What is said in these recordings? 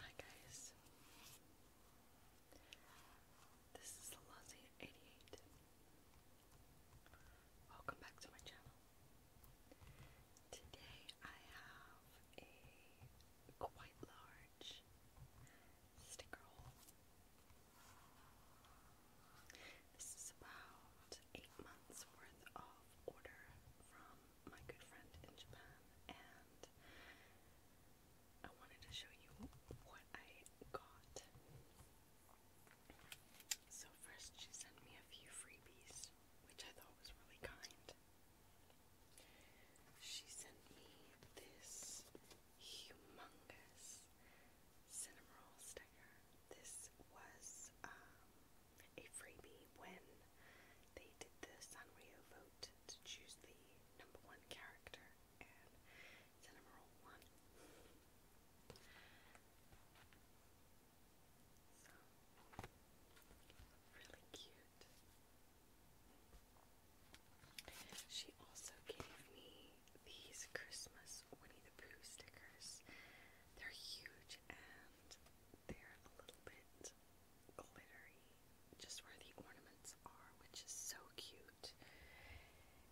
Hi guys, this is Lazzy88. Welcome back to my channel. Today I have a quite large sticker hole. This is about eight months worth of order from my good friend in Japan, and I wanted to show you what I got. So, first, she sent me a few freebies, which I thought was really kind. She sent me this humongous cinnamon roll sticker. This was um, a freebie when they did the Sanrio vote to choose the number one character, and it's number one. So, really cute. She also gave me these Christmas Winnie the Pooh stickers. They're huge and they're a little bit glittery, just where the ornaments are, which is so cute.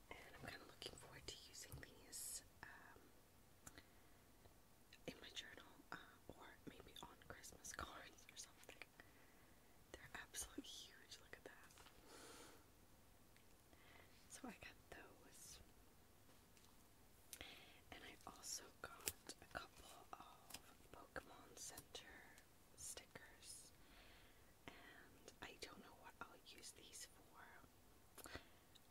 And I'm kind of looking forward to using these um, in my journal uh, or maybe on Christmas cards or something. They're absolutely huge, look at that. So I got those. And I also got a couple of Pokemon Center stickers. And I don't know what I'll use these for.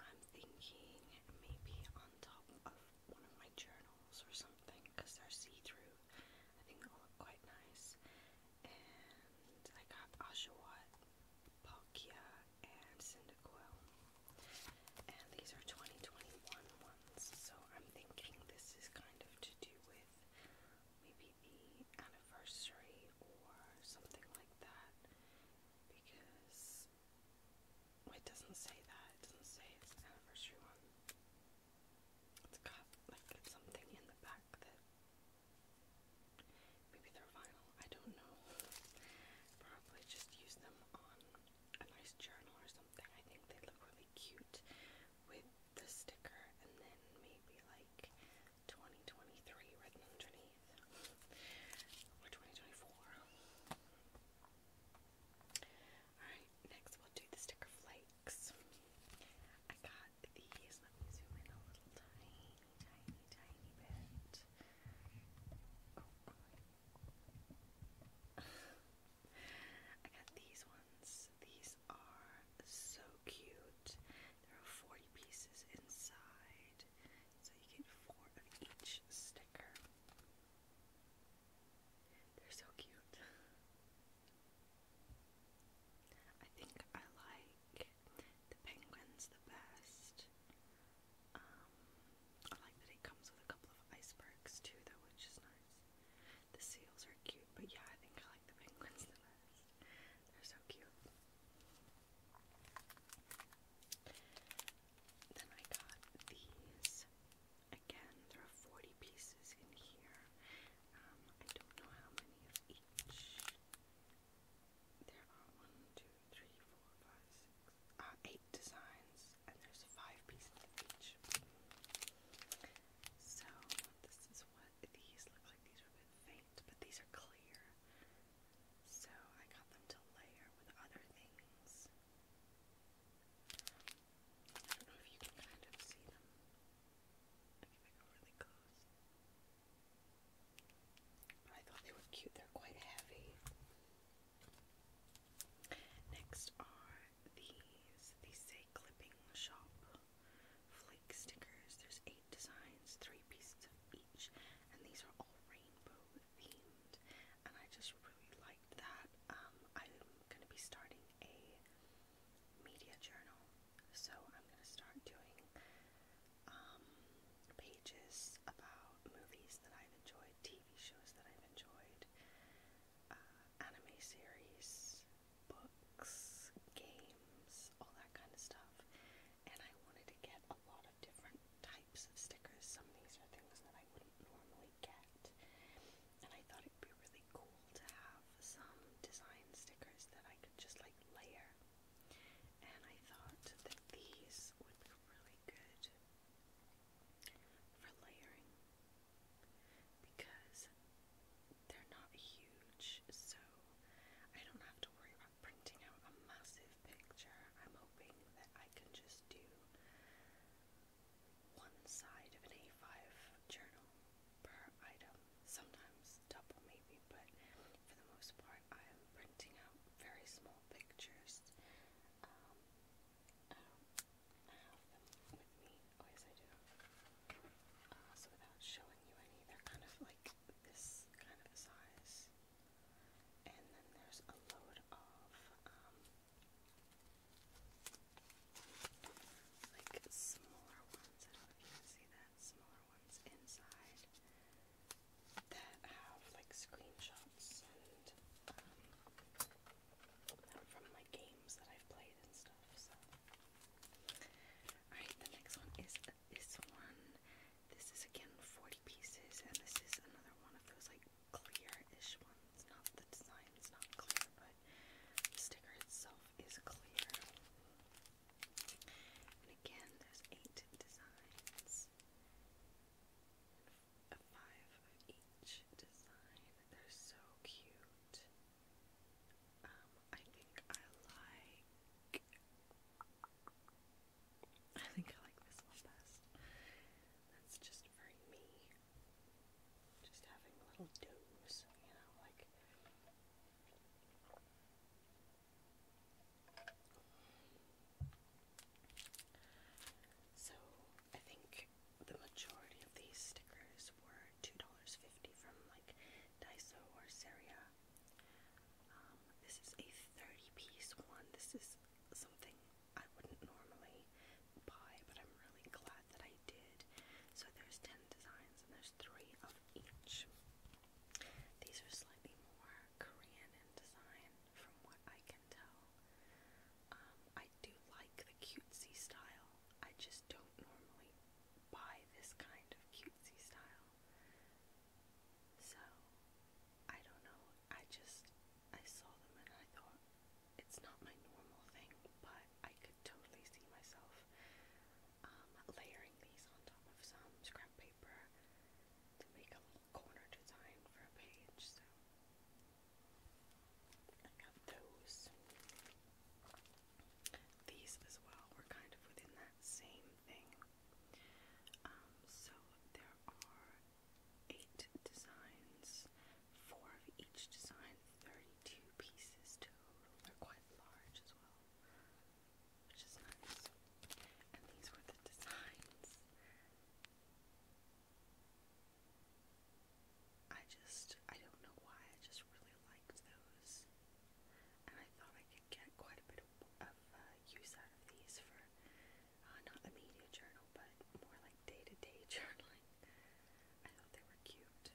I'm thinking maybe on top of one of my journals or something because they're see through. I think they'll look quite nice. And I got Oshawott, Palkia, and Cyndaquil. And these are 2021 so I'm thinking this is kind of to do with maybe the anniversary or something like that. Because it doesn't say that, it doesn't say it's anniversary one. It's got like something in the back that maybe they're vinyl, I don't know. Probably just use them on a nice journal or something. I think they look really cute with the sticker and then maybe like 2023 written underneath or 2024. Alright, next we'll do the sticker flakes. I got these. Let me zoom in a little tiny, tiny, tiny bit. Oh, I got these ones. These are so cute. There are 40 pieces inside, so you get four of each sticker. They're so cute. I think I like the penguins the best. Um, I like that it comes with a couple of icebergs too, though, which is nice. The seals are cute, but yeah, I think I like the penguins They're so cute. Then I got these. Again, there are 40 pieces in here. Um, I don't know how many of each. There are 1, uh, eight designs, and there's five pieces each. So this is what these look like. These are a bit faint, but these are clear. So I got them to layer with other things. I don't know if you can kind of see them. if I go really close. But I thought they were cute. They're quite heavy. Next are these. These say Clipping Shop flake stickers. There's eight designs, three pieces of each, and these are all rainbow themed. And I just really liked that. Um, I'm gonna be starting a media journal, so I'm gonna start doing um, pages thoughts about movies that I've enjoyed, TV shows that I've enjoyed, uh, anime series, books, games, all that kind of stuff. And I wanted to get a lot of different types of stickers. Some of these are things that I wouldn't normally get. And I thought it'd be really cool to have some design stickers that I could just like layer. And I thought that these would be really good for layering because they're not huge, so I don't have to worry about printing out a massive picture. I'm hoping that I can just do one side of an A5 journal per item, sometimes double maybe, but for the most part, I am printing out very small pictures. Um, I so without showing you any, they're kind of like this kind of size. And then there's a load of, like smaller ones. I don't know if you can see that. Smaller ones inside that have like screenshots and um, from like all right, the next one is this one. This is again 40 pieces, and this is another one of those like clear-ish ones. Not the design is not clear, but the sticker itself is clear. And again, there's eight designs five of each design. They're so cute. Um, I think I like I think I like this one best. That's just for me. Just having little doze, you know, like so I think the majority of these stickers were $2.50 from like Daiso or Seria. Um, this is a 30 piece one. This is something I wouldn't normally buy, but I'm really glad that I did. So there's 10 designs and there's three of each. These are slightly more Korean in design from what I can tell. Um, I do like the cutesy style. I just don't normally buy this kind of cutesy style. So, I don't know. I just, I saw them and I thought, it's not my normal thing, but I could totally see myself um, layering these on top of some scrap paper to make a little corner design for a page. So, I got those. These as well were kind of within that same thing. Um, so there are eight designs, four of each design, 32 pieces total. They're quite large as well, which is nice. And these were the designs. I just, I don't know why, I just really liked those. And I thought I could get quite a bit of, uh, use out of these for uh, not a media journal, but more like day to day journaling. I thought they were cute.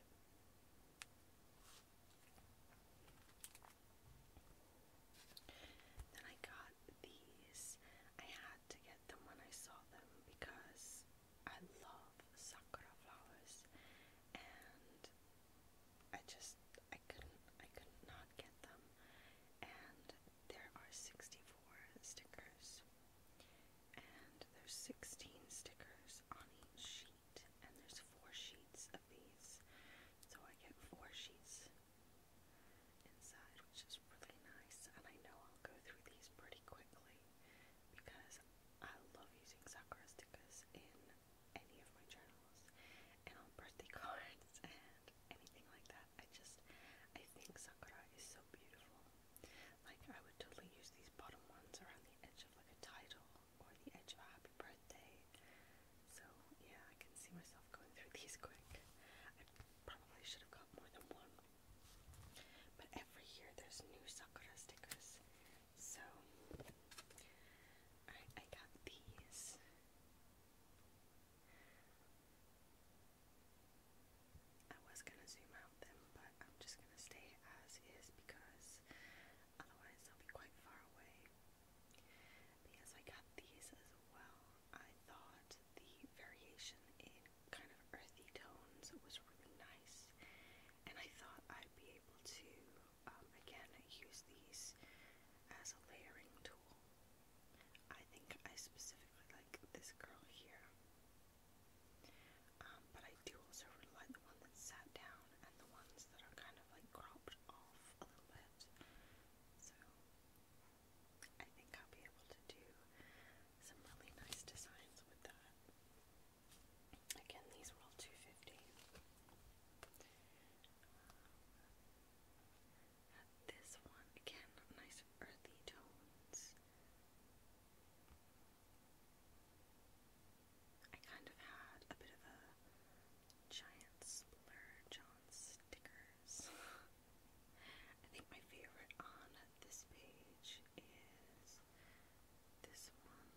Then I got these. I to get them when I saw them because I love sakura flowers and I just I couldn't I could not get them and there are 64 stickers and there's 16 stickers on each sheet and there's four sheets of these so I get four sheets inside, which is really nice. And I know I'll go through these pretty quickly because I love using Sakura stickers in any of my journals and on birthday cards and anything like that. I just, I think Sakura is so beautiful. Like, I would totally use these bottom ones around the edge of like a title or the edge of a happy birthday. So, yeah, I can see myself going through these quick. I probably should have got more than one but every year there's new Sakura stickers. So I, got these. I was gonna zoom out them, but I'm just gonna stay as is because otherwise they'll be quite far away. Because I got these as well. I thought the variation kind of earthy tones was really nice, and I thought I'd be able to um, again use these as a layering tool. I think I specifically like this girl here, um, but I do also really like the one that's sat down and the ones that are kind of like cropped off a little bit. I think I'll be able to do some really nice designs with that. Again, these were all 250. Um, this one again, nice earthy tones. I kind of had a bit of a giant splurge on sticker stickers. I think my favorite on this page is this one.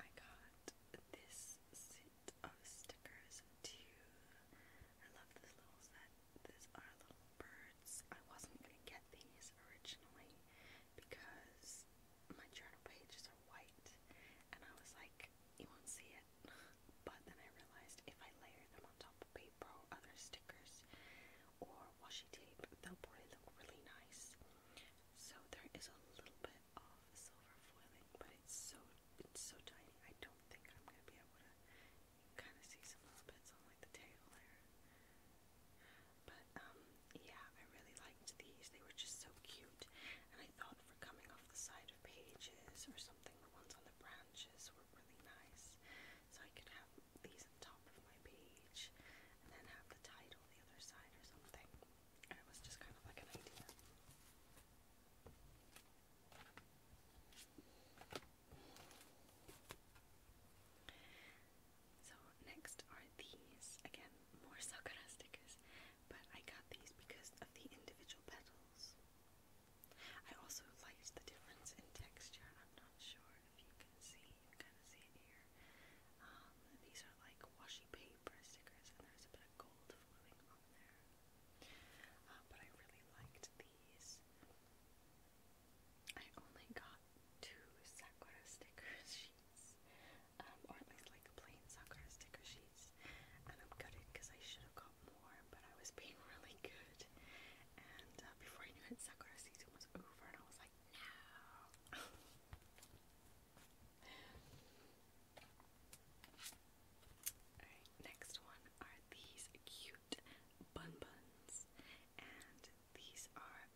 I got this set of stickers too. I love this little set. These are little birds. I wasn't gonna get these originally, because my journal pages are white and I was like, you won't see it. But then I realized if I layer them on top of paper other stickers or washi tape, they'll probably look really nice. So there is a little bit of silver foiling, but it's so it's so tiny. I don't think I'm gonna be able to. You can kind of see some little bits on like the tail there. But um, yeah, I really liked these. They were just so cute, and I thought for coming off the side of pages or something, the ones on the branches were really nice. So I could have these on top of my page, and then have the title the other side or something. And it was just kind of like an idea. So next are these, again, more Sakura stickers, but I got these because of the individual petals. I also liked the difference in texture. I'm not sure if you can see, you can see it here. Um, these are like washi paper stickers, and there's a bit of gold flowing on there. Uh, but I really liked these. I only got two Sakura sticker sheets, um, or at least like plain Sakura sticker sheets, and I'm gutted because I should have got more, but I was being really good, and uh, before I knew it, Sakura season was over, and I was like, no. next one are these cute bun buns, and these are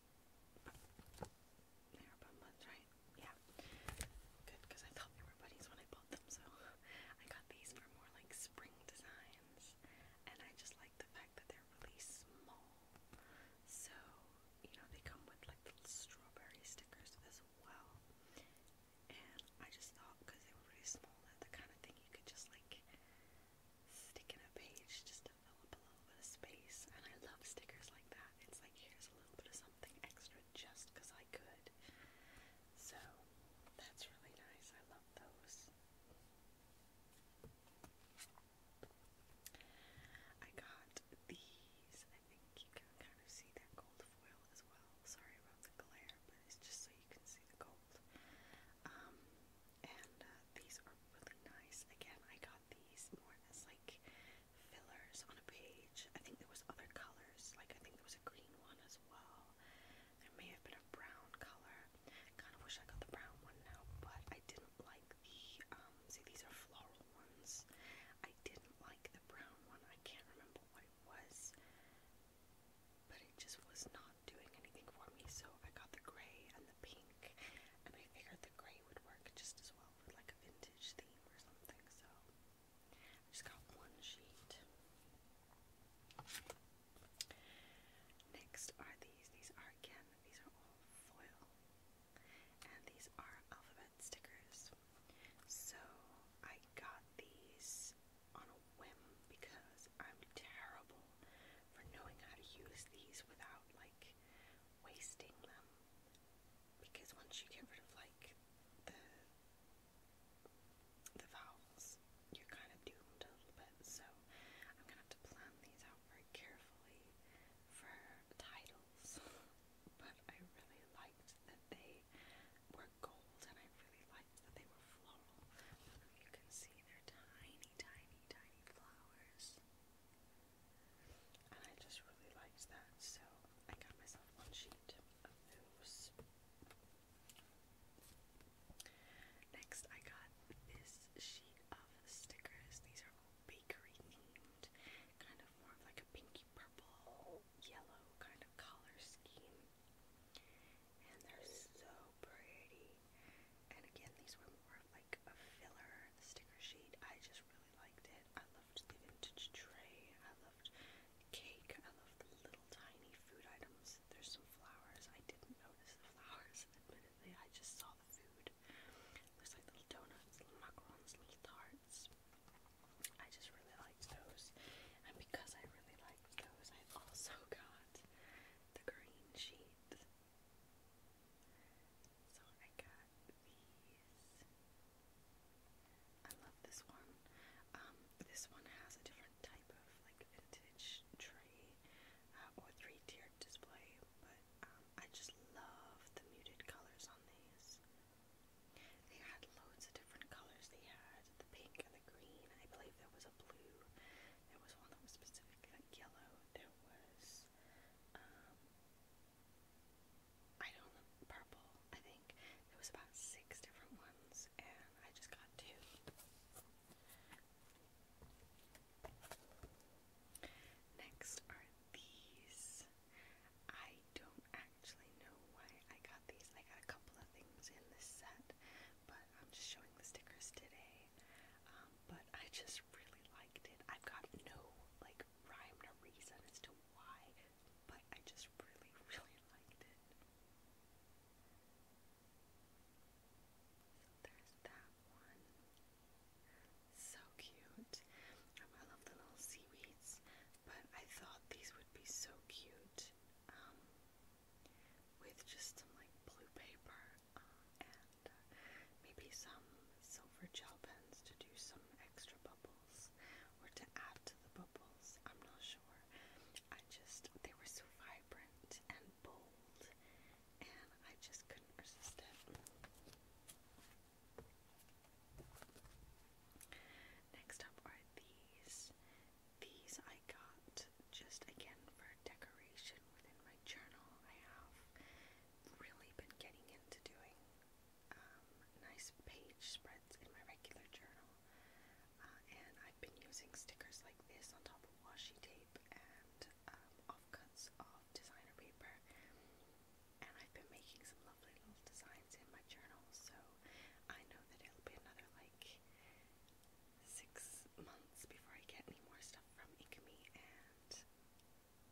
they're about right? Yeah. Good, because I felt everybody's when I bought them, so I got these for more like spring designs. And I just like the fact that they're really small. So, you know, they come with like little strawberry stickers as well. And I just thought, because they were really small, that the kind of thing you could just like stick in a page just I a little bit of space, and I love stickers like that. It's like here's a little bit of something extra just because I could. So that's really nice. I love those. I got these. I think you can kind of see that gold foil as well. Sorry about the glare, but it's just so you can see the gold. and these are really nice. Again, I got got these more as like fillers on a page. I think there was other colors, like I think there was a green one as well. There may have been a brown color. Kind of wish I got the brown one now, but I didn't like the um see these are floral ones. I didn't like the brown one. I can't remember what it was. But it just was not doing anything for me, so I got the gray and the pink, and I figured the gray would work just as well like a vintage theme or something, so I just got one sheet. Next are these. These are again, these are all foil. And these are alphabet stickers. So I got these on a whim because I'm terrible for knowing how to use these without like wasting them because once you get rid of like the the vowels, you're kind of doomed a little bit. So I'm gonna have to plan these out very carefully for titles. But I really liked that they were gold, and I really liked that they were floral. you can see they tiny, tiny, tiny flowers and I just really liked that, so I got myself one sheet Next, I got this sheet of stickers. These are all bakery themed, kind of more of like a pinky purple, yellow kind of color scheme. And they're so pretty. And again, these were like a filler sticker sheet. I just really liked it. I loved the vintage tray. I loved cake. I loved the little tiny food items. There's some flowers. I didn't notice the flowers, admittedly. I just saw the food. There's like little donuts, little macarons, little tarts. I just really liked those. And because I really liked those, I also got the green sheet so I got these. I love this one. Um, this one has a different type of like vintage tray uh, or three-tiered display, but um, I just love the muted colors on these. They had loads of different colors. They had the pink and the green. I believe there was a blue. There was one that was specific yellow. There was um, I don't purple, I think. There was about six different ones and I just got two. Next are these. I don't actually know why I got these. I got a couple of things in this set, but I'm just showing the stickers today. Um, but I just really liked it. I've got no like rhyme or reason as to why, but I just really, really liked it. So cute. Um, I love the little seaweeds, but I thought these would be so cute um, with just some like blue paper uh, uh, maybe some silver gel pens to do some extra bubbles or to add to the bubbles. I'm not sure. I just, they were so vibrant and bold, and I just couldn't resist it. Next up are these. These I got just again for decoration within my journal. I have really been getting into doing um, nice page spreads in my regular journal. Uh, and I've been using stickers like this on top of washi tape and um, offcuts of designer paper. And I've been making some lovely little designs in my journal, so I know that it'll be another like six months before I get any more stuff from Ikami, and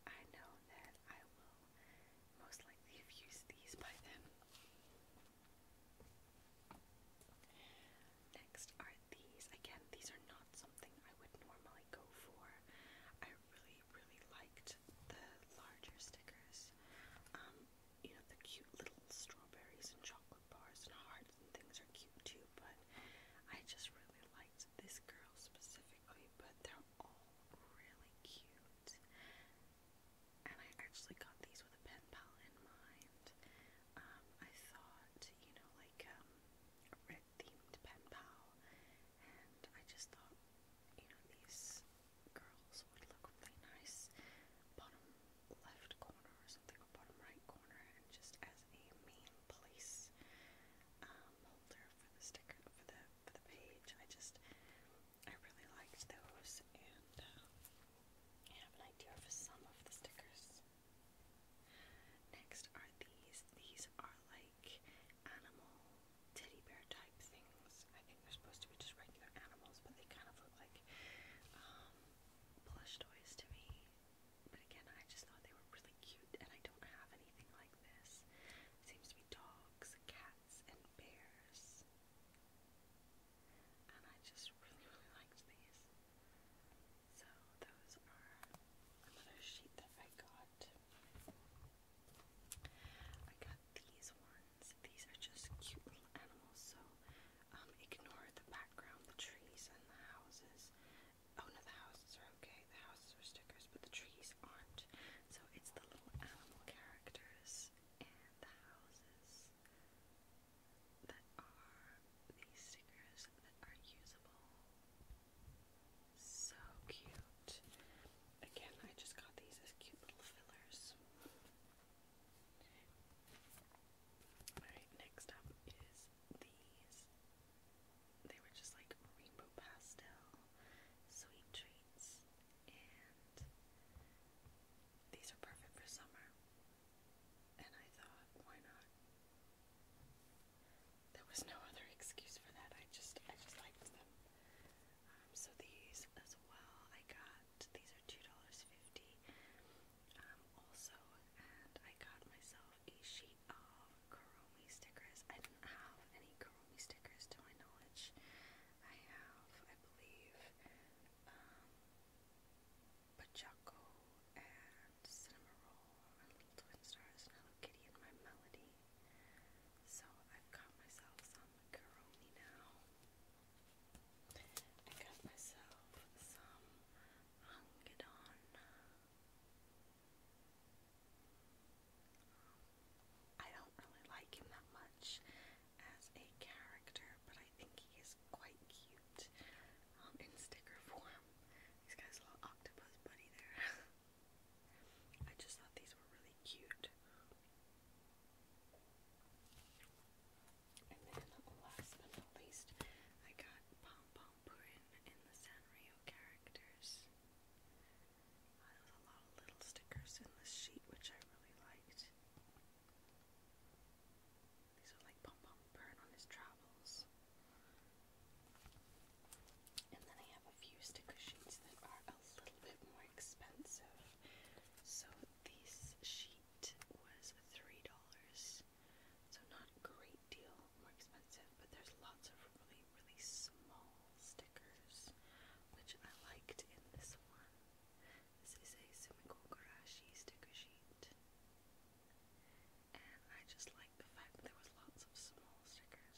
I know that I will most likely have used these by then. Next are these. Again, these are not something I would normally go for. I really, really liked the larger stickers. Um, you know, the cute little strawberries and chocolate bars and hearts and things are cute too, but I just really liked this girl specifically specifically, but they're all really cute. And I actually got these with a pen pal in mind. Um, I thought, you know, like um, a red themed pen pal, and I just thought, you know, these girls would look really nice bottom left corner or something, or bottom right corner, and just as a main place. Um, um, holder for the sticker for the for the page. I just I really liked those, and uh, I have an idea for some of the stickers. Next are these. These are like animal teddy bear type things. I think they're supposed to be just regular animals, but they kind of look like um, plush toys to me. But again, I just thought they were really cute, and I don't have anything Seems to be dogs, cats, and bears. And I just really, really liked these. So those are another sheet that I got. I got these ones. These are just cute little animals, so um, ignore the background, the trees and the houses. Oh no, the houses are okay. The houses are stickers, but the trees aren't. So it's the little animal characters and the houses that are these stickers that are usable. So cute. Again, I just got these as cute little fillers. Alright, next up is these they were just like rainbow pastel, sweet treats, and these are perfect for summer. And I thought, why not? There was no other excuse for that. I just, I just liked them. Um, so these as well. I got these are two dollars fifty. Um, also, and I got myself a sheet of Karomi stickers. I do not have any Karomi stickers to my knowledge. I have, I believe, um, and Cinema and Little Twin Stars and Hello Kitty and My Melody. So I've got myself some Karomi now. I got myself some Hungedon. I don't really like him that much as a character, but I think he is quite cute um, in sticker form. He's got little octopus buddy there. I just thought these were really cute. And then last but not least, I got Pom Pom Purin in the Sanrio characters there was a lot of little stickers in this sheet, which I really liked. These are like Pom Pom Burn on his travels. And then I have a few sticker sheets that are a little bit more expensive. So this sheet was $3. So not great deal more expensive, but there's lots of really, really small stickers, which I liked in this one. This is a Sumiko Garashi sticker sheet. And I just like the fact that there was lots of small stickers.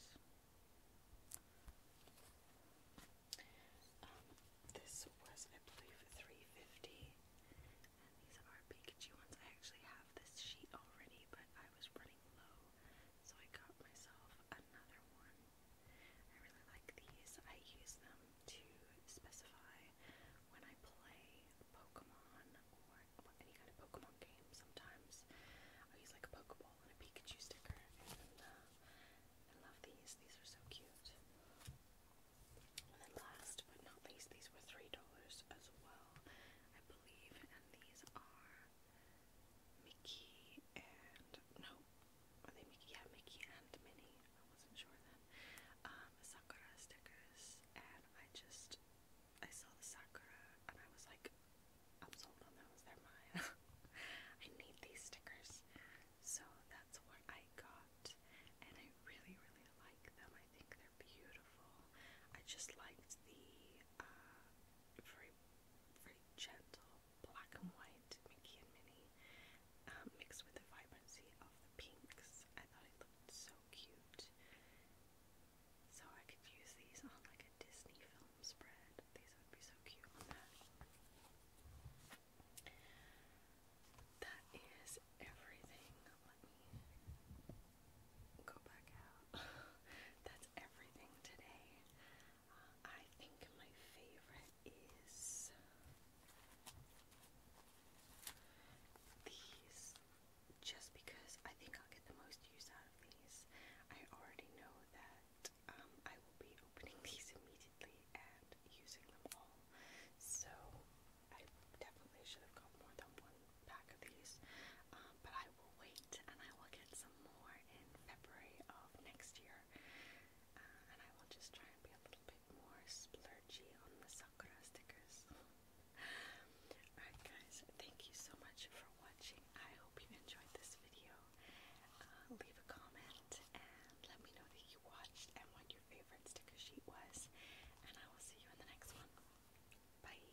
Um, this was, I believe, three fifty, and these are Pikachu ones. I actually have this sheet already, but I was running low, so I got myself another one. I really like these. I use them to specify when I play Pokemon or any kind of Pokemon game sometimes. I use like a Pokeball and a Pikachu sticker uh, I love these. These are so cute. And then last but not least, these were $3 as well, I believe, and these are Mickey and no, are they Mickey? Yeah, Mickey and Minnie. I wasn't sure then. Um, Sakura stickers, and I just I saw the Sakura, and I was like, I'm sold on those. They're mine. I need these stickers, so that's what I got, and I really, really like them. I think they're beautiful. I just liked the. Uh, for very, very gentle black and white Mickey and Minnie um, mixed with the vibrancy of the pinks. I thought it looked so cute. So I could use these on like a Disney film spread. These would be so cute on that. That is everything. Let me go back out. That's everything today. I think my favorite is these just because I think I'll get the most use out of these. I already know that um, I will be opening these immediately and using them all. So I definitely should have got more than one pack of these. Um, but I wait and I will get some more in February of next year. Uh, and I will just try and be a little bit more splurgy on the Sakura stickers. Alright guys, thank you so much for watching. I hope you enjoyed this video. Uh, leave a comment and let me know that you watched and what your favorite sticker sheet was. And I will see you in the next one. Bye!